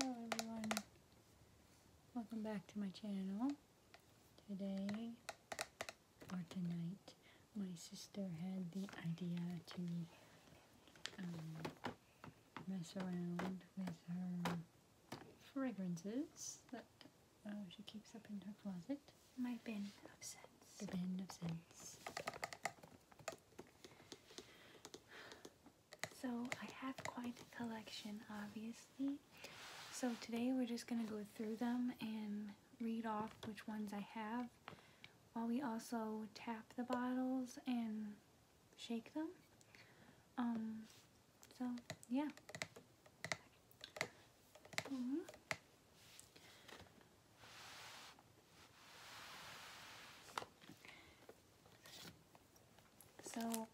Hello everyone, welcome back to my channel. Today, or tonight, my sister had the idea to um, mess around with her fragrances that uh, she keeps up in her closet. My bin of scents. The bin of scents. So I have quite a collection, obviously. So today we're just going to go through them and read off which ones I have while we also tap the bottles and shake them. Um, so, yeah. Mm -hmm. So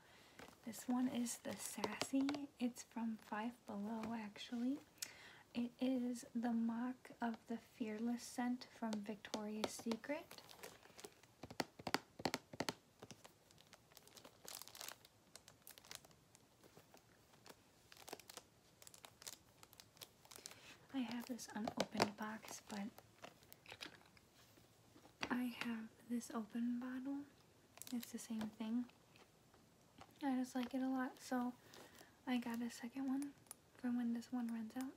this one is the Sassy. It's from Five Below actually. It is the mock of the Fearless scent from Victoria's Secret. I have this unopened box, but I have this open bottle. It's the same thing. I just like it a lot, so I got a second one for when this one runs out.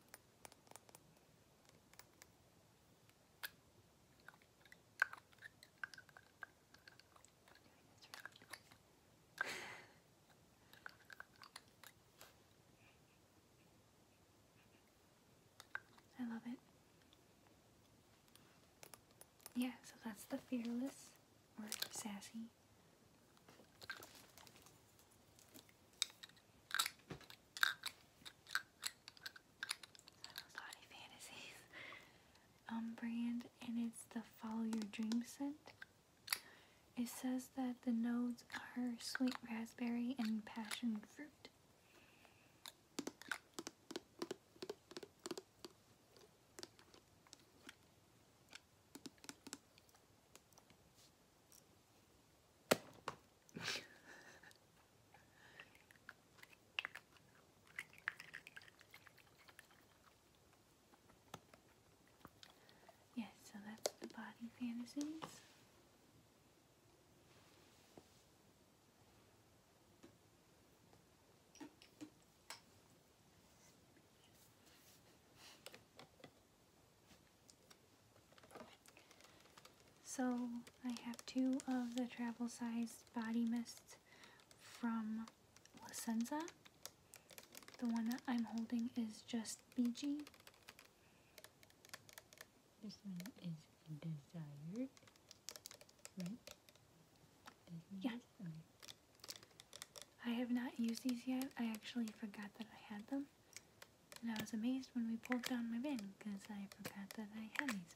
I love it. Yeah, so that's the fearless or sassy. Naughty Fantasies um brand and it's the Follow Your Dream scent. It says that the nodes are sweet raspberry and passion fruit. Yes, so that's the body fantasies. So I have two of the travel sized body mists from Licenza. The one that I'm holding is just BG. This one is desired, right? Desired? I have not used these yet. I actually forgot that I had them. And I was amazed when we pulled down my bin because I forgot that I had these.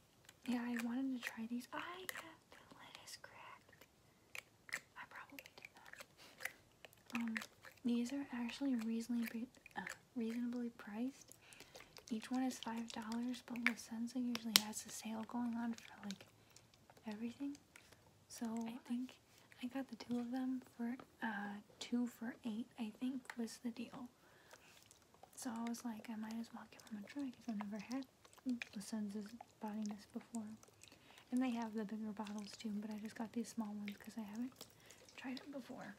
Yeah, I wanted to try these. I have the lettuce cracked. I probably did not. Um, these are actually reasonably uh, reasonably priced. Each one is five dollars, but La usually has a sale going on for like everything. So I think I got the two of them for uh, two for eight. I think was the deal. So I was like, I might as well give them a try because I've never had the Sun's body mist before. And they have the bigger bottles too, but I just got these small ones because I haven't tried them before.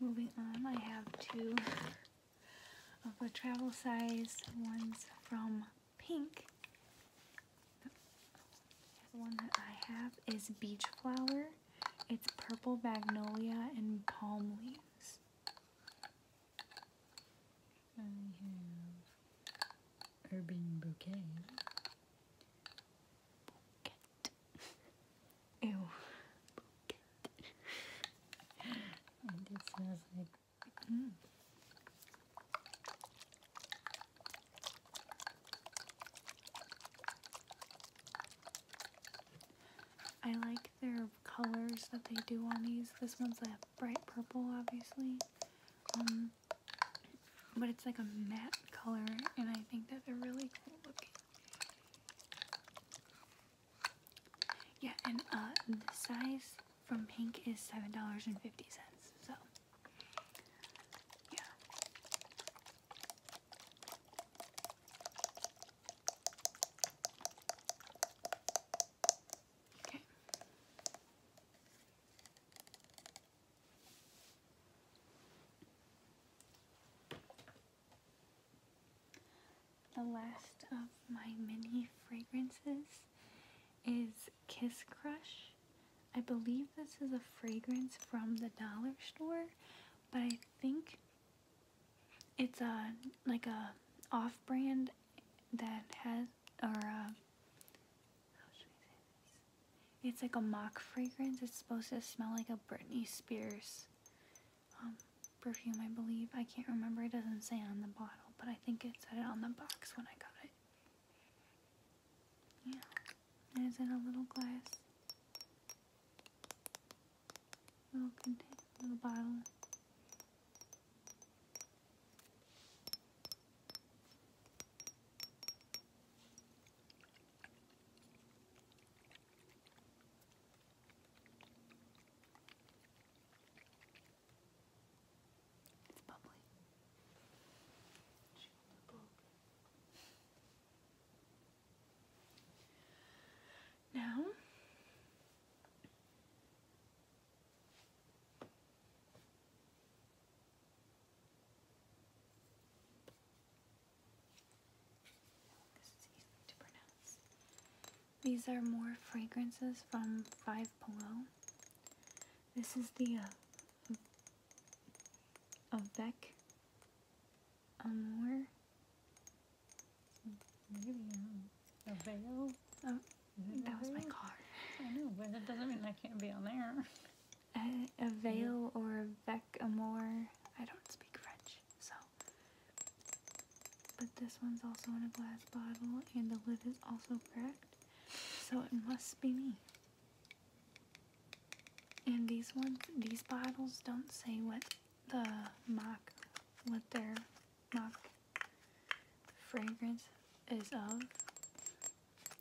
Moving on, I have two of the travel size ones from pink. The one that I have is Beach Flower. It's purple magnolia and palm leaves. I have Urban Bouquet. Ew. I like their colors that they do on these. This one's a bright purple, obviously. Um, but it's like a matte color, and I think that they're really cool looking. Yeah, and uh, the size from Pink is seven dollars and fifty cents. So yeah. Okay. The last of my mini fragrances is Kiss Crush. I believe this is a fragrance from the dollar store, but I think it's a like a off brand that has or uh, It's like a mock fragrance. It's supposed to smell like a Britney Spears um, perfume, I believe. I can't remember. It doesn't say on the bottle, but I think it said it on the box when I got it. Yeah, there's in a little glass, little container, little bottle. It's bubbly. Now this is easy to pronounce. These are more fragrances from Five Below. This is the uh, Avec Amour. Maybe, a veil. Oh, that was my card. I know, but it doesn't mean I can't be on there. A, veil or a vec amour. I don't speak French, so. But this one's also in a glass bottle, and the lid is also cracked. So it must be me. And these ones, these bottles don't say what the mock, what their mock fragrance is of.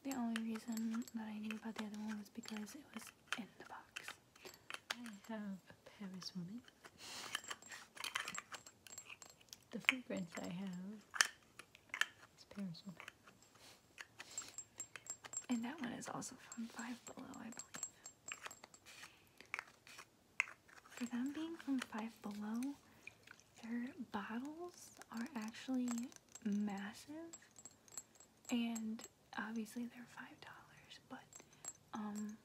The only reason that I knew about the other one was because it was in the box. I have a Paris woman. The fragrance I have is Parasol. And that one is also from Five Below, I believe. For them being from Five Below, their bottles are actually massive. And obviously they're $5, but um,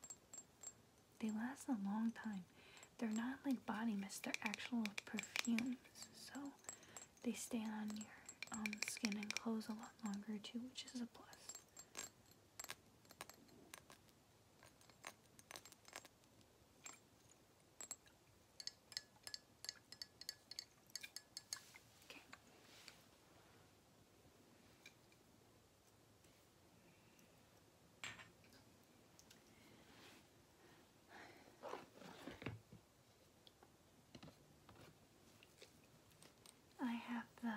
they last a long time. They're not like body mist, they're actual perfumes. So they stay on your um, skin and clothes a lot longer too, which is a plus. Okay. I have the uh,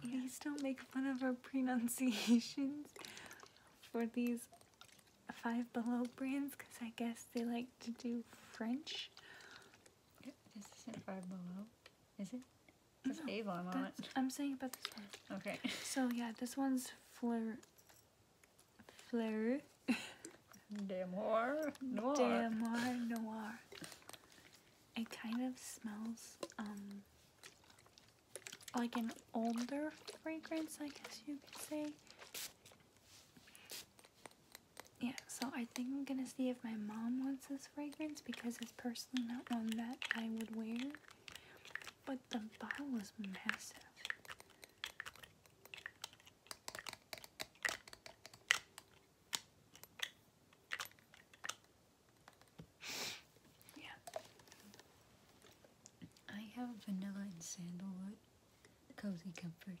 Please don't make fun of our pronunciations for these Five Below brands because I guess they like to do French this isn't Five Below, is it? That's no, I'm saying about this one. Okay. So yeah, this one's Fleur. Fleur. Damoir Noir. Damoir Noir. It kind of smells um like an older fragrance, I guess you could say yeah, so I think I'm gonna see if my mom wants this fragrance because it's personally not one that I would wear. But the bottle is massive. yeah. I have vanilla and sandalwood cozy comfort.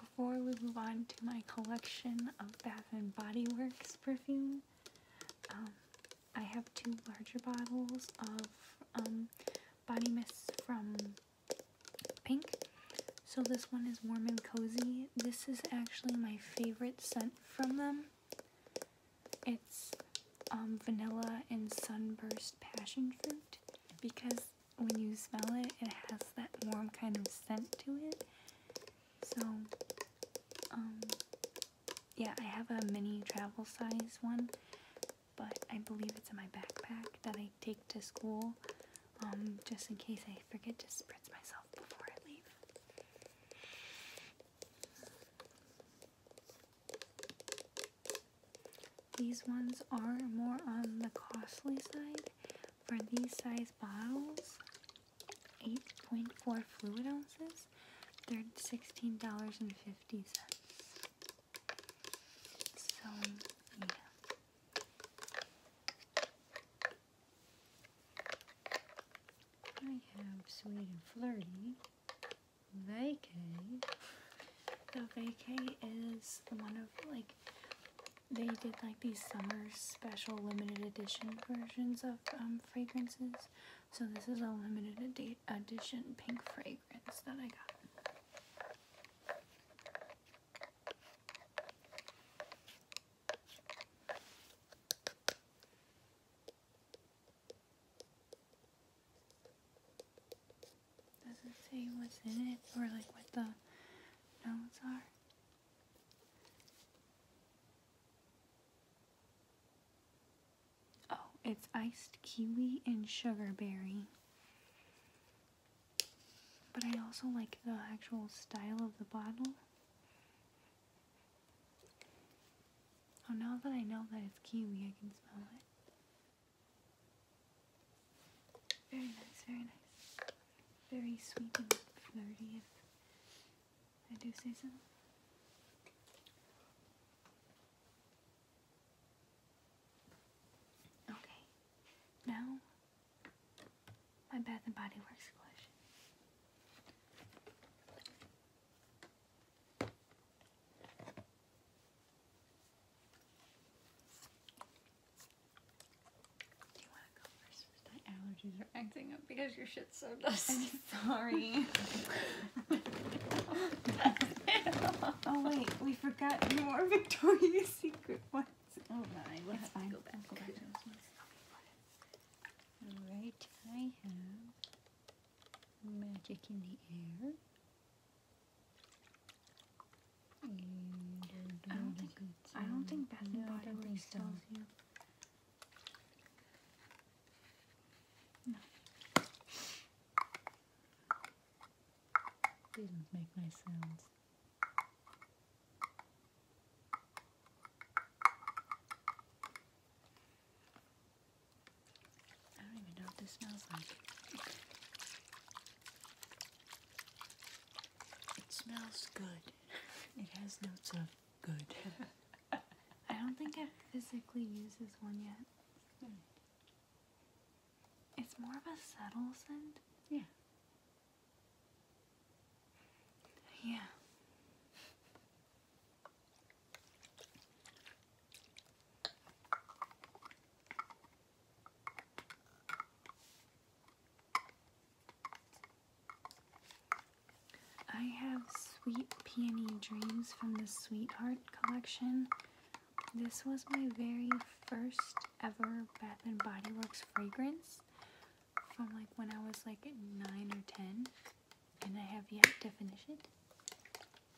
Before we move on to my collection of Bath and Body Works perfume, um, I have two larger bottles of um, body mist from Pink. So this one is warm and cozy. This is actually my favorite scent from them. It's um, vanilla and sunburst passion fruit because when you smell it, it has that warm kind of scent to it. So, um, yeah, I have a mini travel size one, but I believe it's in my backpack that I take to school um, just in case I forget to spritz myself before I leave. These ones are more on the costly side. For these size bottles, 8.4 fluid ounces, they're $16.50. So, yeah. I have Sweet and Flirty, Vacay. So Vacay is one of like, they did like these summer special limited edition versions of um, fragrances. So this is a limited edition pink fragrance that I got. Does it say what's in it or like what the notes are? Oh, it's iced kiwi and sugarberry. But I also like the actual style of the bottle. Oh, now that I know that it's kiwi, I can smell it. Very nice, very nice. Very sweet and flirty, if I do say so. Okay, now my Bath and Body Works collection. Do you want to go first? My allergies are acting up because your shit's so dusty. sorry. oh wait, we forgot more Victoria's Secret ones. Oh my, we'll go back. Alright, I have magic in the air. I don't think I don't think Bath and Body Works so. sells you. make nice sounds. I don't even know what this smells like. It smells good. It has notes of good. I don't think i physically use this one yet. Hmm. It's more of a subtle scent. Yeah. Yeah. I have Sweet Peony Dreams from the Sweetheart collection. This was my very first ever Bath and Body Works fragrance from like when I was like 9 or 10 and I have yet to finish it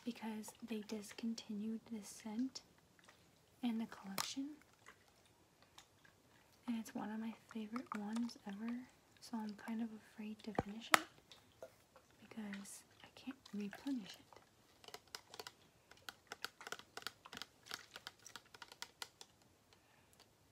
because they discontinued this scent and the collection and it's one of my favorite ones ever so I'm kind of afraid to finish it because I can't replenish it.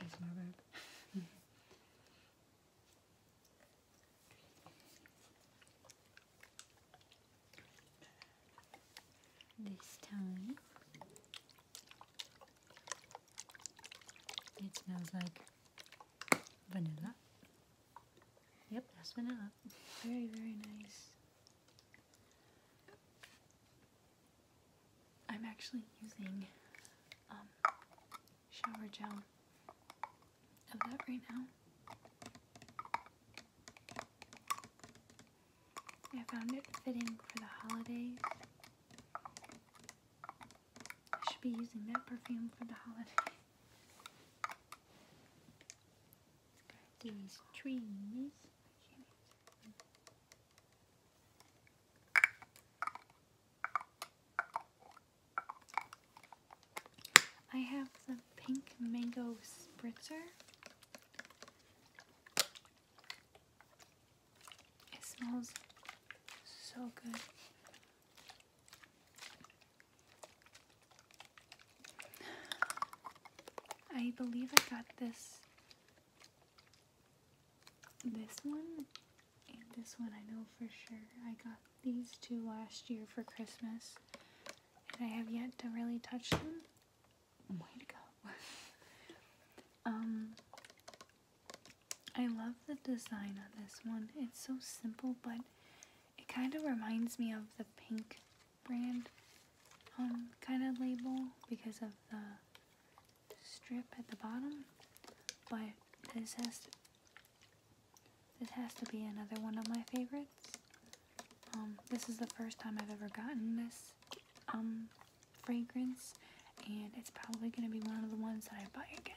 It's my robe. This time it smells like vanilla. Yep, that's vanilla. Very, very nice. I'm actually using um, shower gel of that right now. I found it fitting for the holidays. I should be using that perfume for the holidays. These trees. I have the pink mango spritzer. It smells so good. I believe I got this this one and this one I know for sure. I got these two last year for Christmas and I have yet to really touch them. Way to go. um I love the design on this one. It's so simple but it kind of reminds me of the pink brand kind of label because of the strip at the bottom. But this has to, this has to be another one of my favorites. Um, this is the first time I've ever gotten this um, fragrance, and it's probably going to be one of the ones that I buy again.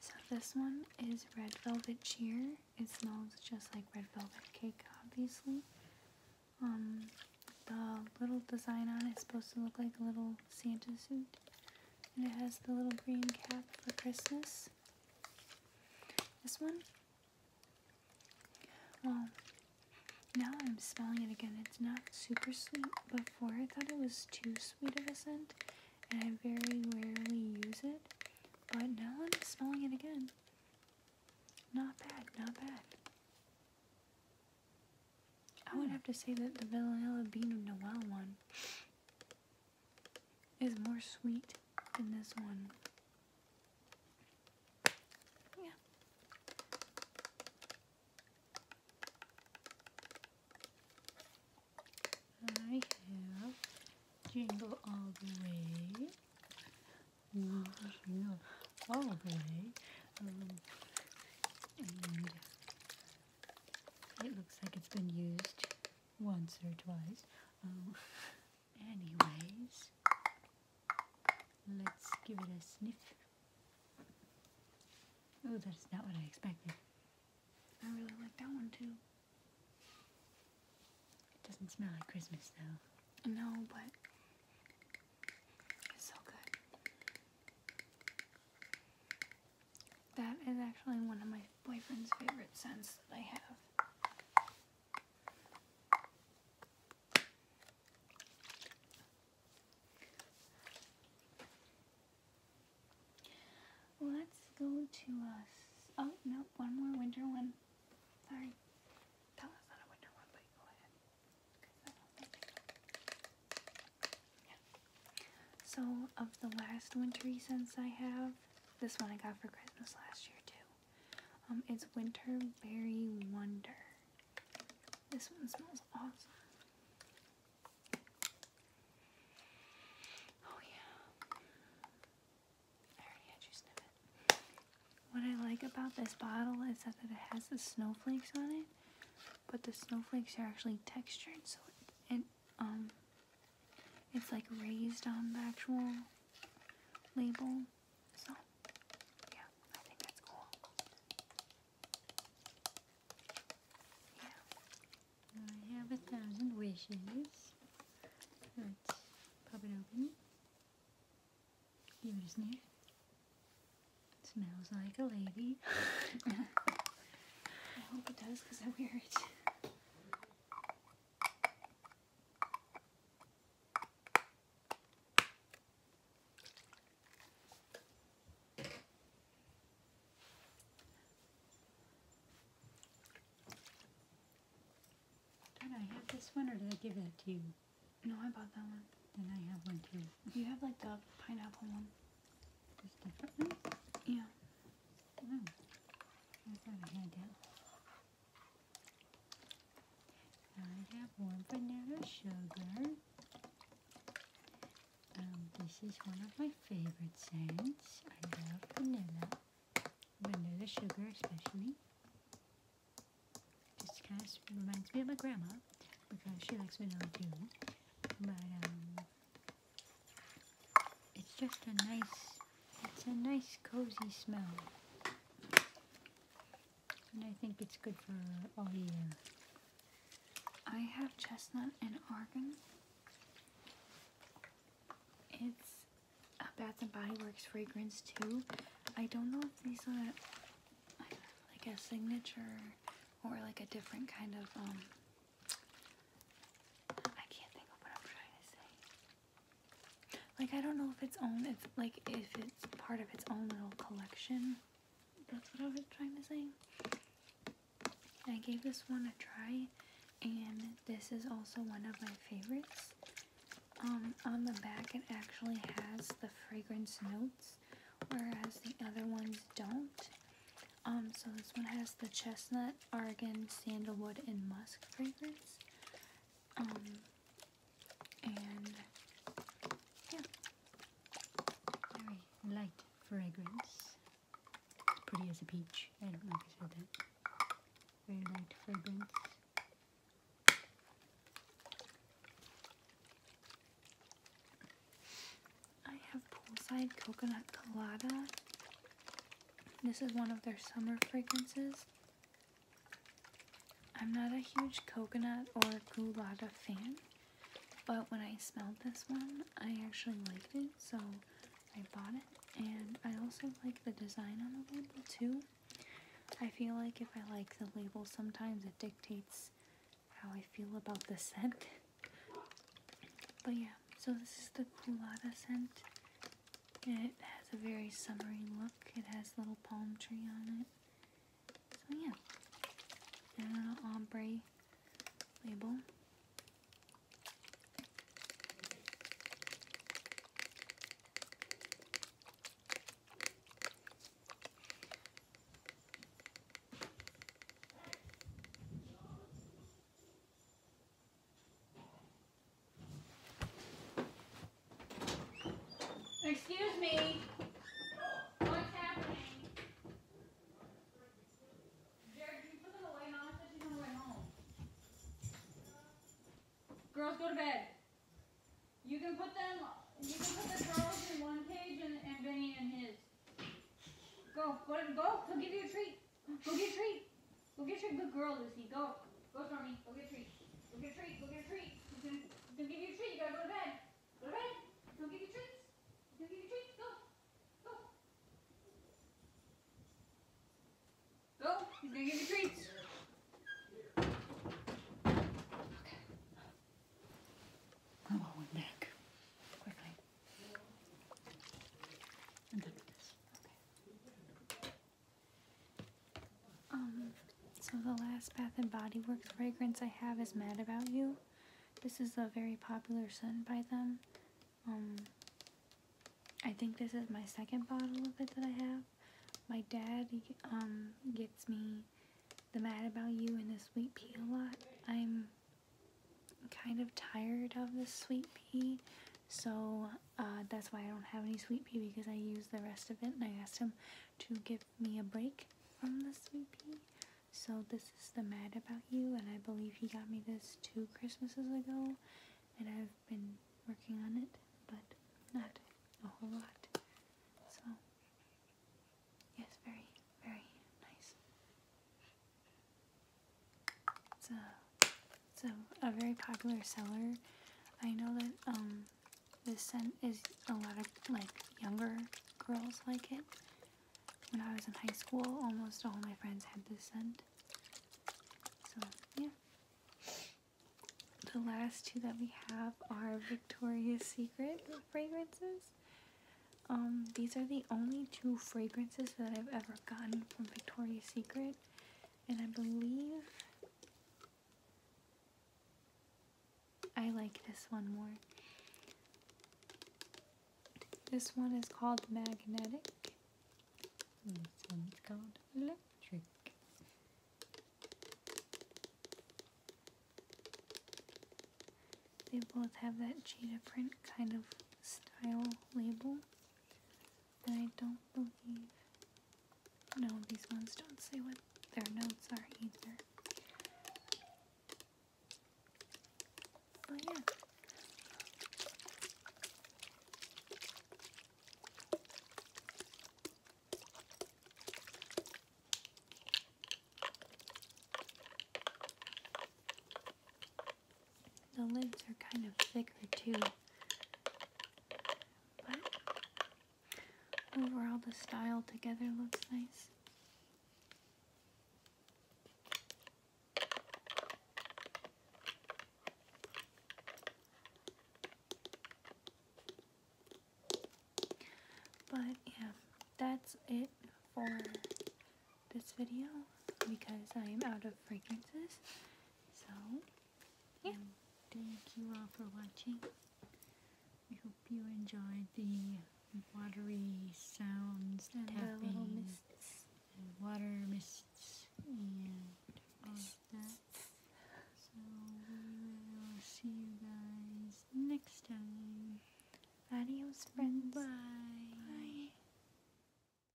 So this one is Red Velvet Cheer. It smells just like Red Velvet Cake, obviously. Um, the little design on it is supposed to look like a little Santa suit. And it has the little green cap for Christmas. This one well, now I'm smelling it again. It's not super sweet. Before I thought it was too sweet of a scent, and I very rarely use it. But now I'm smelling it again. Not bad, not bad. I would hmm. have to say that the vanilla bean Noel one is more sweet than this one. Yeah. I have jingle all the way. Mm it looks like it's been used once or twice. Um, Anyways, let's give it a sniff. Oh, that's not what I expected. I really like that one too. It doesn't smell like Christmas though. No, but it's so good. That is actually one of my boyfriend's favorite scents that I have. Let's go to us. Oh, no, one more winter one. Sorry. So, of the last wintry scents I have, this one I got for Christmas last year, too. Um, it's Winter Berry Wonder. This one smells awesome. Oh yeah. I already had you sniff it. What I like about this bottle is that it has the snowflakes on it, but the snowflakes are actually textured, so um, it's like raised on the actual label. So, yeah, I think that's cool. Yeah. I have a thousand wishes. Let's pop it open. Give it a sniff. smells like a lady. I hope it does because I wear it. Did I have this one or did I give that to you? No, I bought that one. Then I have one too. You have like the pineapple one. This different Yeah. Oh. I have one vanilla sugar. Um, this is one of my favorite scents. I love vanilla, vanilla sugar especially. Just kind of reminds me of my grandma because she likes vanilla too. But um, it's just a nice it's a nice cozy smell. And I think it's good for all year. Uh, I have chestnut and argan. It's a Bath and Body Works fragrance too. I don't know if these are like a signature or like a different kind of um I can't think of what I'm trying to say. Like I don't know if it's own if like if it's part of its own little collection. That's what I was trying to say. I gave this one a try and this is also one of my favorites. Um, on the back it actually has the fragrance notes, whereas the other ones don't. Um, so this one has the chestnut, argan, sandalwood, and musk fragrance. Um, and yeah, very light fragrance. Pretty as a peach. I don't know if I said that. Very light fragrance. I have Poolside Coconut Colada. This is one of their summer fragrances. I'm not a huge coconut or goulada fan, but when I smelled this one, I actually liked it, so I bought it. And I also like the design on the label too. I feel like if I like the label, sometimes it dictates how I feel about the scent. But yeah, so this is the Kulata scent. It has a very summery look. It has a little palm tree on it. So yeah. And an ombre label. Excuse me. What's happening? Jared, you put that away? Mama said she's on home. Girls, go to bed. You can put them, you can put the Charles in one cage and, and Benny and his. Go, go, go. He'll give you a treat. Go get a treat. Go get a treat. Good girl, Lucy. Go. Go, Stormy. Go get a treat. Go get a treat. Go get a treat. He's gonna, he's gonna give you a treat. You gotta go to bed. Go to bed. He's gonna give you treats. He's gonna give you treats. Go. Go. Go. He's gonna give you treats. Okay. I want one back. Quickly. I'm done with this. Okay. Um, so the last Bath and Body Works fragrance I have is Mad About You. This is a very popular scent by them. Um, I think this is my second bottle of it that I have. My dad um, gets me the Mad About You and the Sweet Pea a lot. I'm kind of tired of the Sweet Pea. So uh, that's why I don't have any sweet pea because I used the rest of it and I asked him to give me a break from the sweet pea. So this is the Mad About You and I believe he got me this two Christmases ago and I've been working on it but not a whole lot. So yes, very, very nice. It's a, it's a, very popular seller. I know that um, this scent is a lot of like younger girls like it. When I was in high school, almost all my friends had this scent. So yeah. The last two that we have are Victoria's Secret fragrances. Um, these are the only two fragrances that I've ever gotten from Victoria's Secret and I believe I like this one more. This one is called magnetic. This one's called electric. They both have that cheetah print kind of style label. I don't believe. No, these ones don't say what their notes are either. But oh, yeah. The lids are kind of thicker too. But overall, the style together looks nice. But yeah, that's it for this video because I am out of fragrances so, yeah. Um, thank you all for watching. We hope you enjoyed the watery sounds and and water mists, and all of that. So, we will see you guys next time. Adios, friends. Bye. Bye.